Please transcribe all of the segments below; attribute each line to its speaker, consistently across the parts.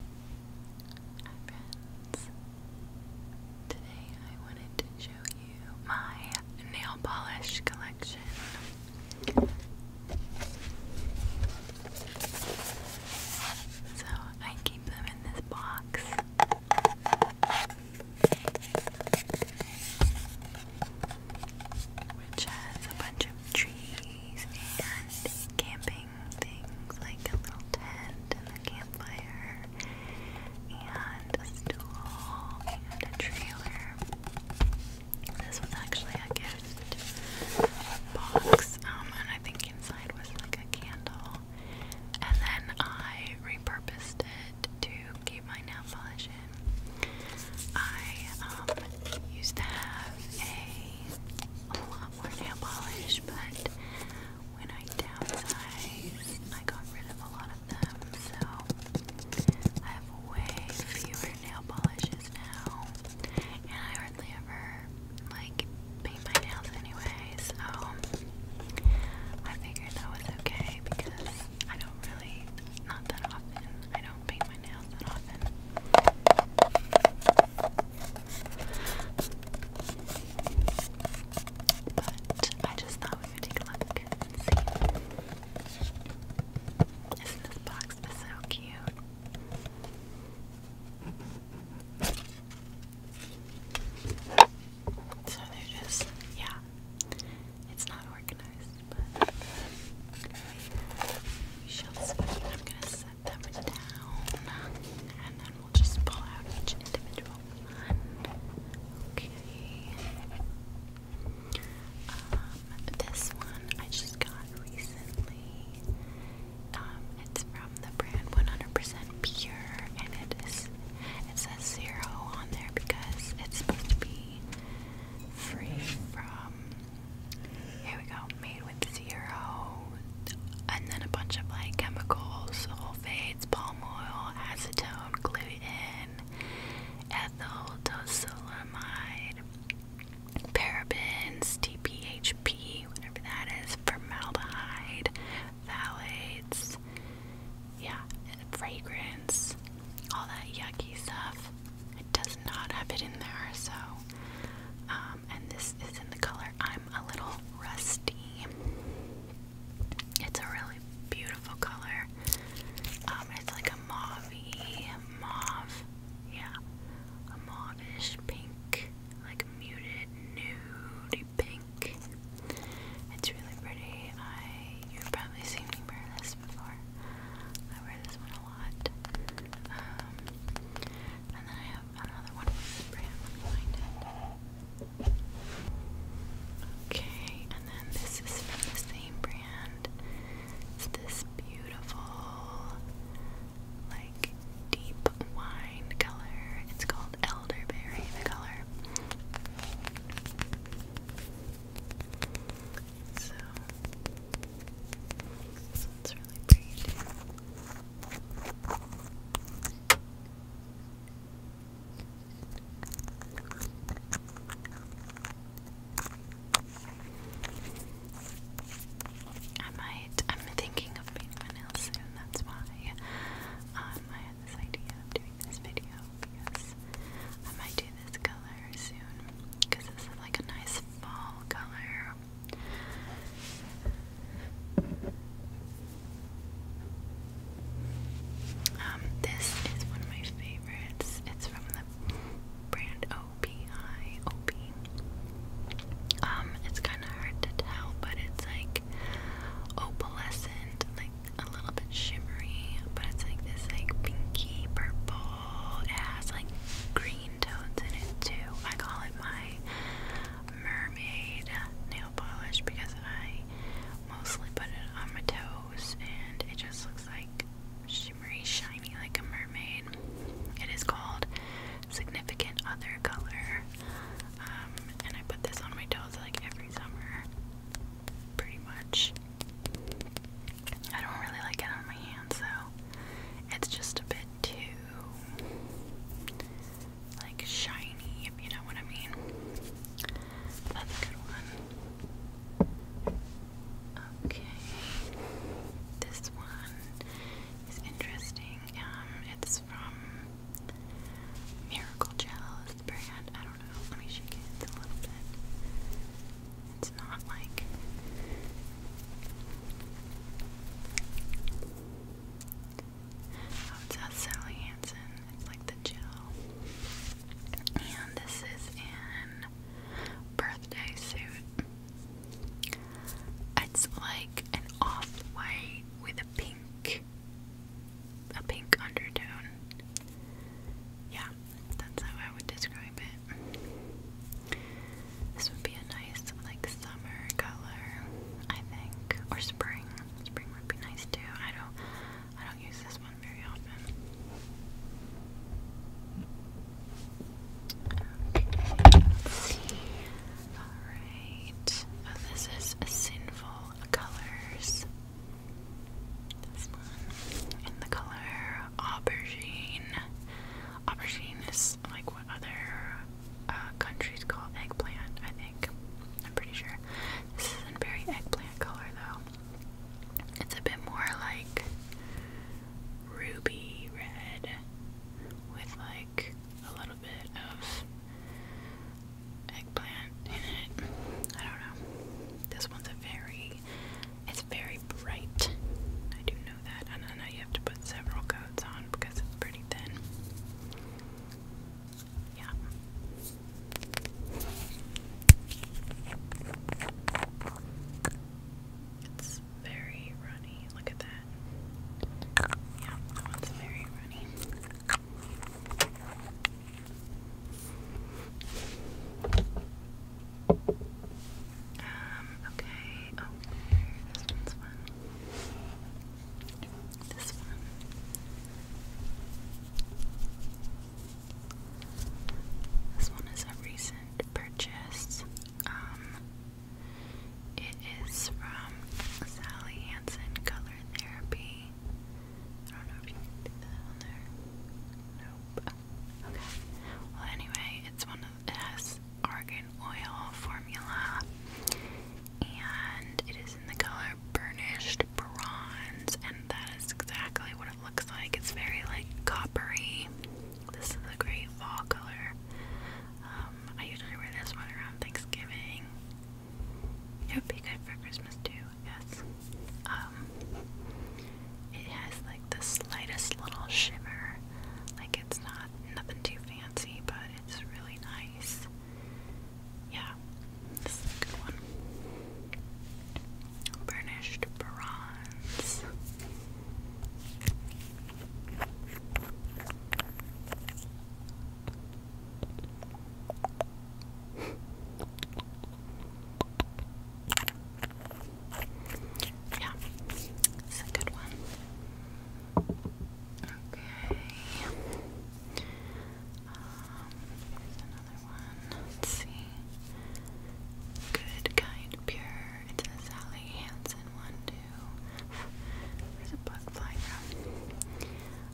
Speaker 1: Hi friends! Today I wanted to show you my nail polish collection. So I keep them in this box. Which has a bunch of trees and camping building things like a little tent and a campfire and a stool and a trailer. This was actually a gift box, um, and I think inside was like a candle. And then I repurposed it to keep my nail polish in. I um, used to have a lot more nail polish, but when I downsized, I got rid of a lot of them, so I have way fewer nail polishes now, and I hardly ever like paint my nails anyway, so I figured that was okay because I don't really, not that often, I don't paint my nails that often. But I just thought we would take a look Isn't this box so cute? So they're just, yeah, it's not organized, but we shall set them down and then we'll just pull out each individual Okay. Um, this one I just got recently. Um, it's from the brand 100% Pure, and it is it says zero on there because it's supposed to be free from here we go. Made with zero, and then a bunch of like chemicals, sulfates, palm oil, acetone, gluten, ethyl tosylamide, parabens, TPHP, whatever that is, formaldehyde, phthalates, yeah, fragrance, all that yucky stuff. It does not have it in there, so. Um, and this is in the color I'm a little rusty. It's a really beautiful color. Um, it's like a mauvey, mauve, yeah, a mauvish pink, like muted nude pink. It's really pretty. I you've probably seen me wear this before. I wear this one a lot. Um, and Okay, and then this is from the same brand. It's this beautiful, like, deep wine color. It's called Elderberry, the color. So, this one's really pretty. I might, I'm thinking of painting my nails soon, that's why um, I had this idea of doing this video because I might do this color soon because this is like a nice fall color um, this is one of my favorites. It's from the brand OPI. Um, it's kind of hard to tell, but it's like opalescent, like a little bit shimmery, but it's like this like pinky purple. It has like green tones in it too. I call it my mermaid nail polish because I mostly put it on my toes and it just looks like shimmery, shiny like a mermaid. It is called Significant Other Color. Um, and I put this on my toes like every summer, pretty much. I don't really like it on my hands though. It's just a bit too like shiny, if you know what I mean. That's a good one. Okay. This one is interesting. Um, it's from Miracle Gel is brand. I don't know. Let me shake it a little bit. It's not like Oh, it's not Sally Hansen. It's like the gel. And this is in birthday suit. It's like an off-white with a pink, a pink undertone. Yeah, that's how I would describe it. This would be a nice like summer color, I think, or spring. Spring would be nice too. I don't, I don't use this one very often. All right. Oh, this is sinful colors. This one in the color aubergine. Aubergine is like what other uh, countries call eggplant, I think. I'm pretty sure. This is a very eggplant color though. It's a bit more like ruby red with like a little bit of eggplant in it. I don't know. This one's a very it's very bright. I do that. And I know you have to put several coats on because it's pretty thin. Yeah. It's very runny. Look at that. Yeah, that one's very runny. Um, okay. Oh, this one's fun. This one. This one is a recent purchase. Um, it is from Sally Hansen Color Therapy. I don't know if you can do that on there. Nope. Okay. Well, anyway, it's one of it has argan oil formula, and it is in the color burnished bronze, and that is exactly what it looks like. It's very like coppery. This is a great fall color. Um, I usually wear this one around Thanksgiving. It would be good for Christmas too, I guess. Um, it has like the slightest little shimmer. Like it's not nothing too fancy, but it's really nice. Yeah, this is a good one. Burnished bronze. yeah, it's a good one. Okay. Um, another one. Let's see. Good, kind, pure. It's a Sally Hansen one too. Where's a bug fly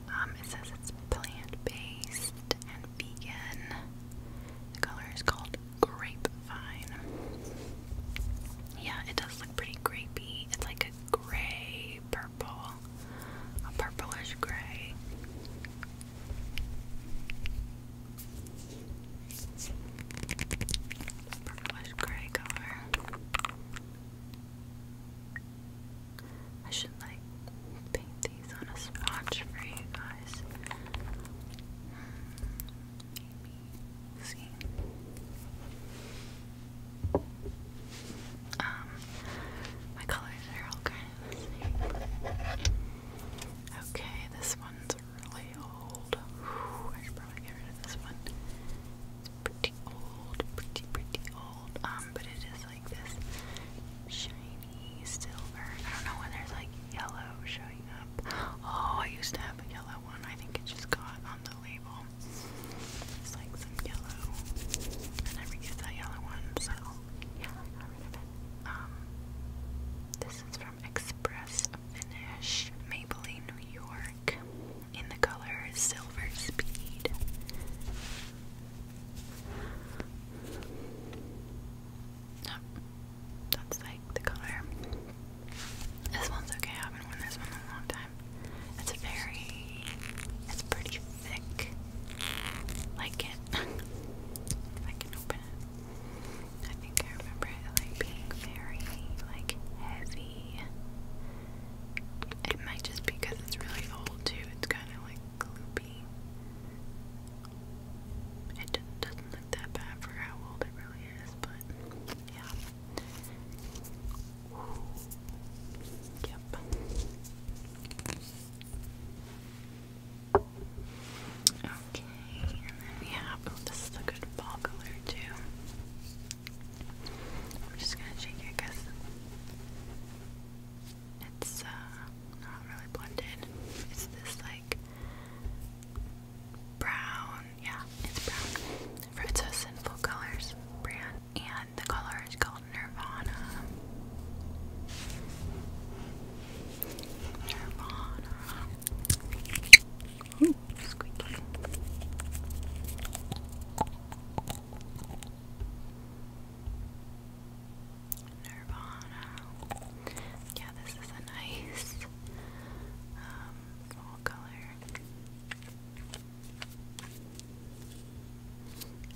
Speaker 1: Um, it says it's plant-based and vegan. The color is called grapevine. Yeah, it does look pretty grapey. It's like a gray purple, a purplish gray. Purplish gray color. I should like paint these on a swatch for you guys. Hmm, see. Um, my colors are all kind of Okay, this one's really old. I should probably get rid of this one. It's pretty old, pretty, pretty old. Um, but it is like this shiny silver. I don't know when there's like yellow showing up. Oh, I used to have a yellow one. I think it just got on the label. It's like some yellow. I never that yellow one, so yeah, Um, this is from Express Finish, Maybelline, New York, in the color Silver Speed. No, that's like the color. This one's okay. I haven't worn this one a long time. It's very, it's pretty thick. Like it. I can open it. I think I remember it like being very like heavy. It might just be because it's really old too. It's kind of like gloopy. It doesn't look that bad for how old it really is, but yeah. Yep. Okay, and then we have, oh, this is a good fall color too. I'm just gonna shake it it's uh, not really blended. It's this like brown yeah, it's brown. Fruits of Sinful Colors brand. And the color is called Nirvana. Nirvana. Yeah, this is a nice um, fall color.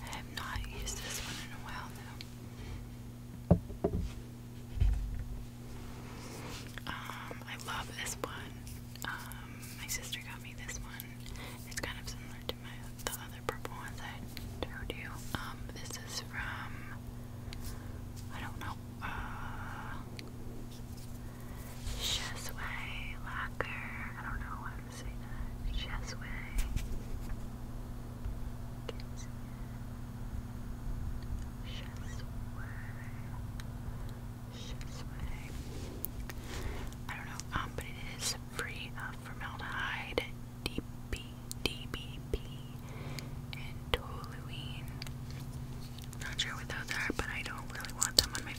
Speaker 1: I have not used this one in a while now. Um, I love this one. Um, my sister got me this one. It's kind of similar to my other purple ones I showed you. Um, this is from I don't know. Uh, Chesway lacquer. I don't know I'm saying that. Chesway. Can't I don't know. Um, but it is free of formaldehyde, DBP, and toluene. Not sure what those are, but I don't really want them on my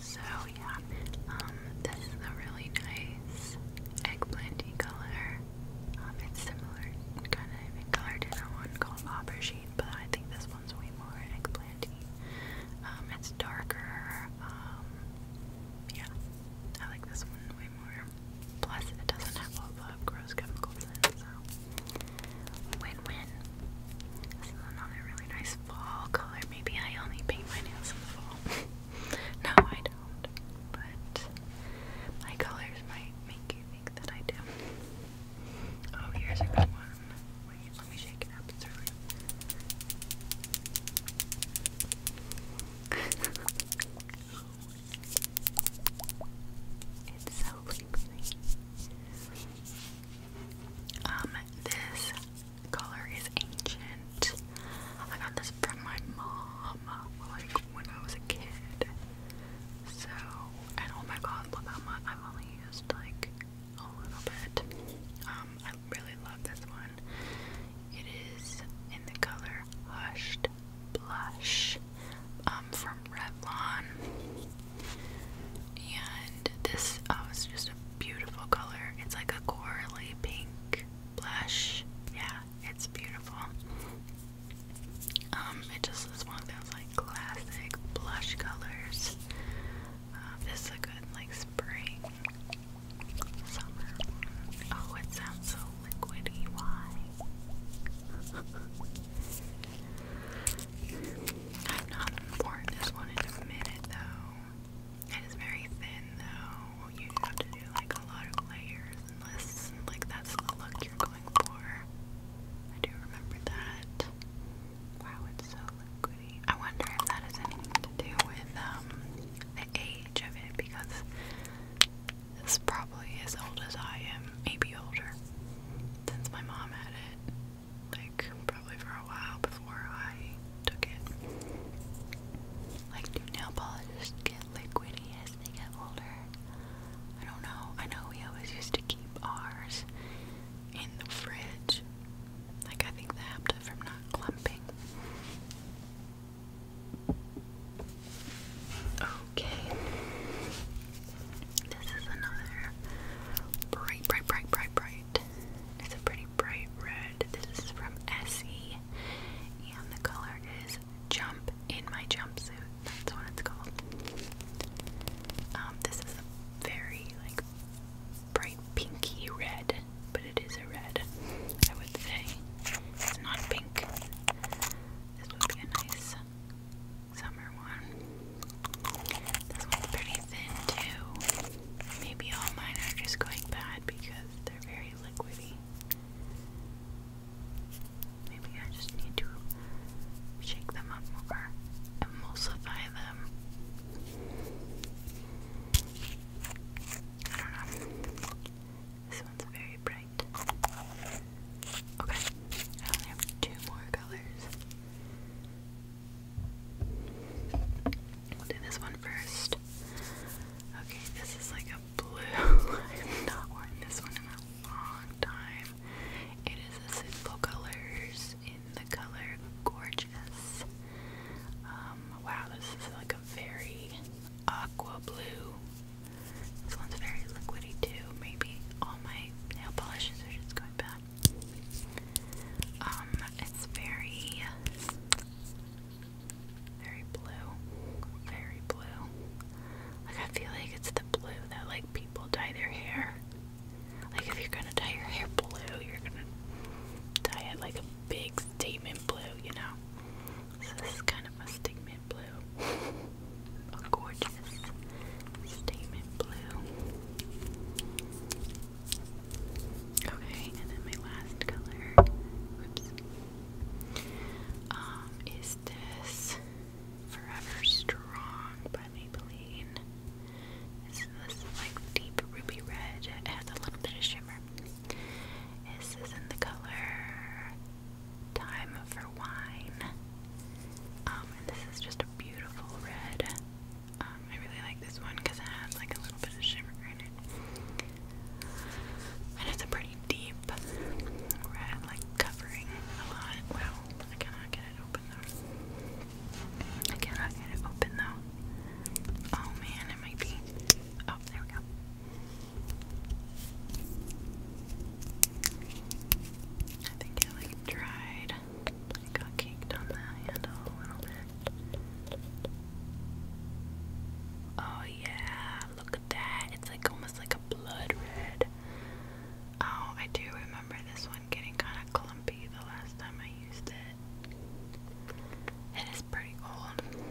Speaker 1: so yeah. Um, this is a really nice eggplanty color. Um, it's similar kind of color to that one called aubergine, but I think this one's way more eggplanty. Um, it's darker. Um, yeah, I like this one way more. Plus, it doesn't have all the gross chemicals in it, so Win-win. This is another really nice fall color. Maybe I only paint my nails in the fall. no, I don't. But my colors might make you think that I do. Oh, here's a good one. Wait, let me shake it up. It's so lengthy. Um, this color is ancient. I got this from my mom, like when I was a kid. So, and oh my god, look how much I've only used like a little bit. Um, I really love this one. It is in the color Hushed Blush um, from Revlon. And this um, oh, is just a beautiful color. It's like a corally pink blush. Yeah, it's beautiful. Um, it just is one of those like classic blush colors. Uh, this is a good like spring, summer. Oh, it sounds so liquidy. Why? i am not worn this one in a minute though. It is very thin though. You have to do like a lot of layers unless like that's the look you're going for. I do remember that. Wow, it's so liquidy. I wonder if that has anything to do with um the age of it because it's probably as old as I am, maybe older, since my mom had it like probably for a while before I took it. Like, do nail polishes get liquidy as they get older? I don't know. I know we always used to keep ours in the fridge. Like, I think that helped it from not clumping. Okay. This is another bright, bright, bright, bright, bright it's a pretty bright red. This is from Essie, and the color is Jump in My Jumpsuit. That's what it's called. Um, this is a very like bright pinky red, but it is a red. I would say it's not pink. This would be nice summer one. This one's pretty thin too. Maybe all mine are just going bad because they're very liquidy. Maybe I just need to shake them up more, emulsify them. I don't know. This one's very bright. Okay, I only have two more colors. We'll do this one first. Okay, this is like a blue. I've not worn this one in a long time. It is a simple colors in the color gorgeous. Um, wow, this is like a very aqua blue. This one's very liquidy too. Maybe all my nail polishes are just going bad. Um, it's very, very blue, very blue. Like I feel like it's the blue that like people dye their hair. Like if you're gonna dye your hair blue, you're gonna dye it like a big statement blue, you know. this is kind of a statement blue. gorgeous statement blue. Okay, and then my last color, whoops, um, is this Forever Strong by Maybelline. This is like deep ruby red. It has a little bit of shimmer. This is in the color Time for Wine. Um, and this is just a beautiful red. Um, I really like this one because it has like a little bit of shimmer in it. And it's a pretty deep red, like covering a lot. Wow, I cannot get it open though. I cannot get it open though. Oh man, it might be. Oh, there we go. I think it like dried it got caked on the handle a little bit. Oh yeah, look at that. It's like almost like a blood red. Oh, I do remember this one getting kind of clumpy the last time I used it. It is pretty old.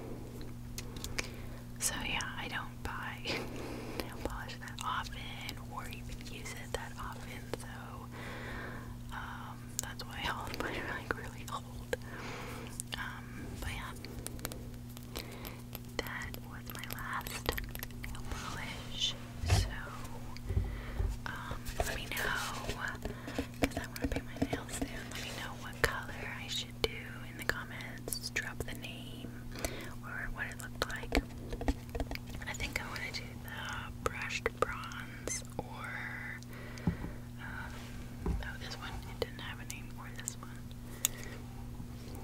Speaker 1: So yeah, I don't buy nail polish that often or even use it that often, so um, that's why all of like really old. Um, but yeah, that was my last nail polish. So, um, let me know because I want to paint my nails soon. Let me know what color I should do in the comments. Drop the name or what it looked like. I think I want to do the brushed bronze or oh, this one it didn't have a name, or this one.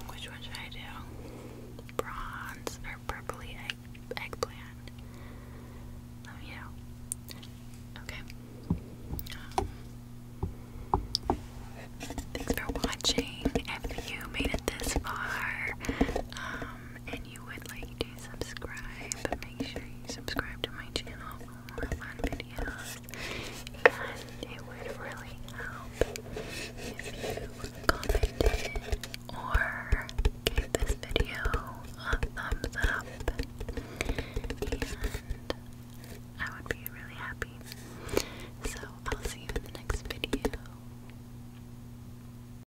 Speaker 1: Which one should I do? Bronze or purpley egg eggplant? Let me know. Okay. Um, thanks for watching. If you made it this far um, you would like to subscribe, make sure you subscribe to my channel for more fun videos. And it would really help if you commented or gave this video a thumbs up. And I would be really happy. So I'll see you in the next video.